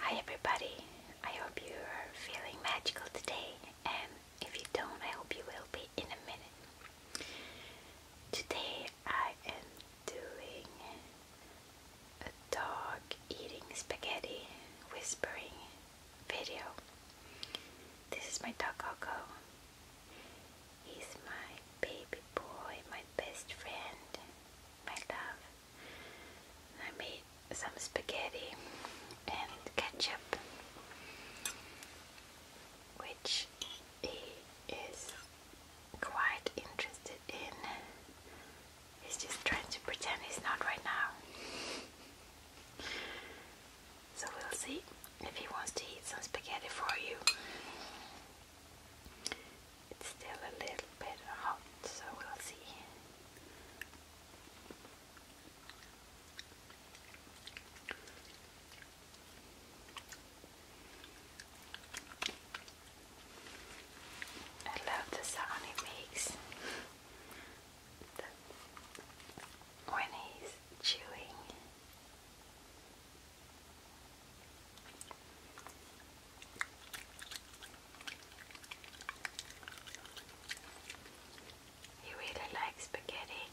Hi everybody, I hope you are feeling magical today and if you don't I hope you will be in a minute. Today I am doing a dog eating spaghetti whispering video. This is my dog Coco. He's my baby boy, my best friend, my love. I made some spaghetti and ketchup, which he is quite interested in. He's just trying to pretend he's not right now. So we'll see if he wants to eat some spaghetti for you. It's still a little bit hot, so we'll see. I love the sound it makes when he's chewing. He really likes spaghetti.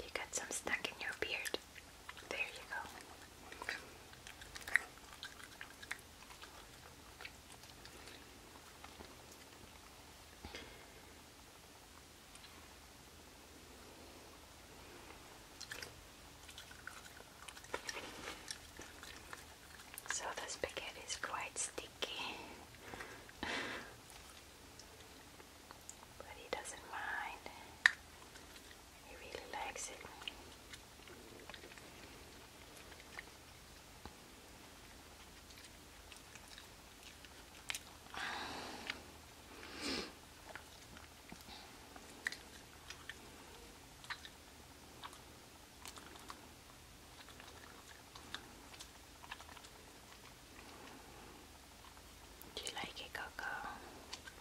You got some stuck in your beard. There you go. So the spaghetti is quite sticky. but he doesn't mind. He really likes it. Do you like it, Coco?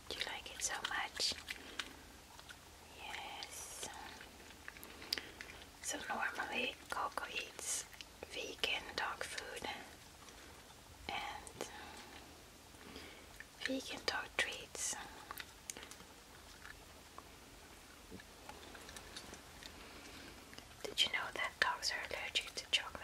Do you like it so much? Yes. So normally Coco eats vegan dog food and vegan dog treats. Did you know that dogs are allergic to chocolate?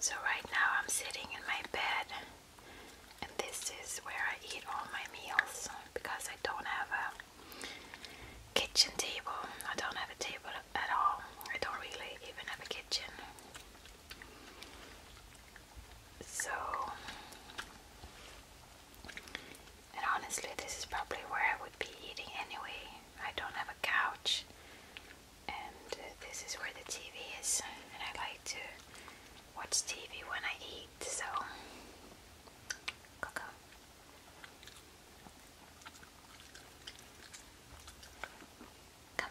So, right now I'm sitting in my bed and this is where I eat all my meals because I don't have a kitchen table. I don't have a table at all. I don't really even have a kitchen. So, and honestly, this is probably where I would be eating anyway. I don't have a couch, and uh, this is where the TV is, and I like to watch TV when I eat, so cocoa. Come.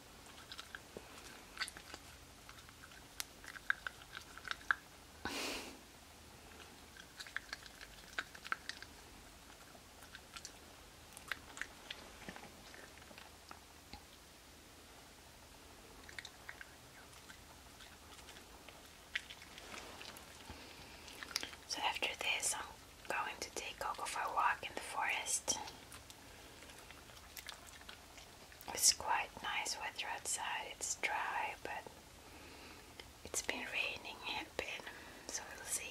so after this, I'm going to take Coco for a walk in the forest. It's quite nice weather outside, it's dry, but it's been raining a bit, so we'll see.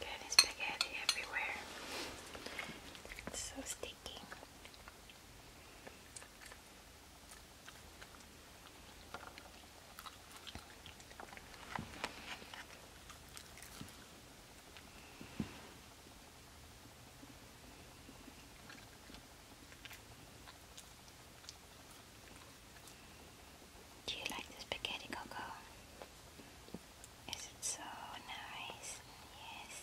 Getting spaghetti everywhere. It's so sticky. Do you like the spaghetti coco? Is it so nice? Yes.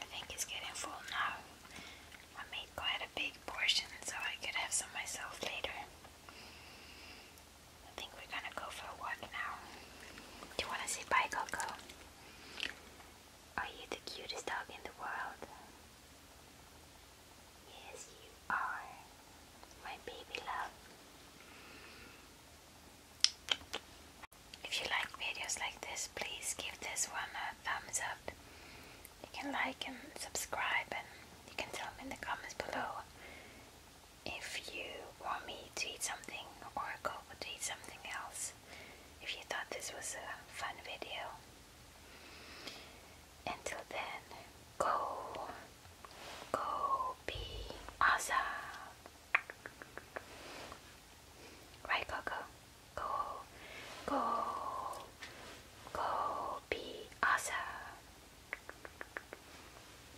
I think he's getting full now. I made quite a big portion so I could have some myself later. I think we're gonna go for a walk now. Do you wanna say bye, Coco? Are you the cutest dog in the world? Yes, you are. My baby love. If you like videos like this, please give this one a thumbs up. You can like and subscribe and you can tell me in the comments below if you want me to eat something or go to eat something else if you thought this was a fun video. Until then, go, go be awesome. Right, Coco? Go, go, go be awesome.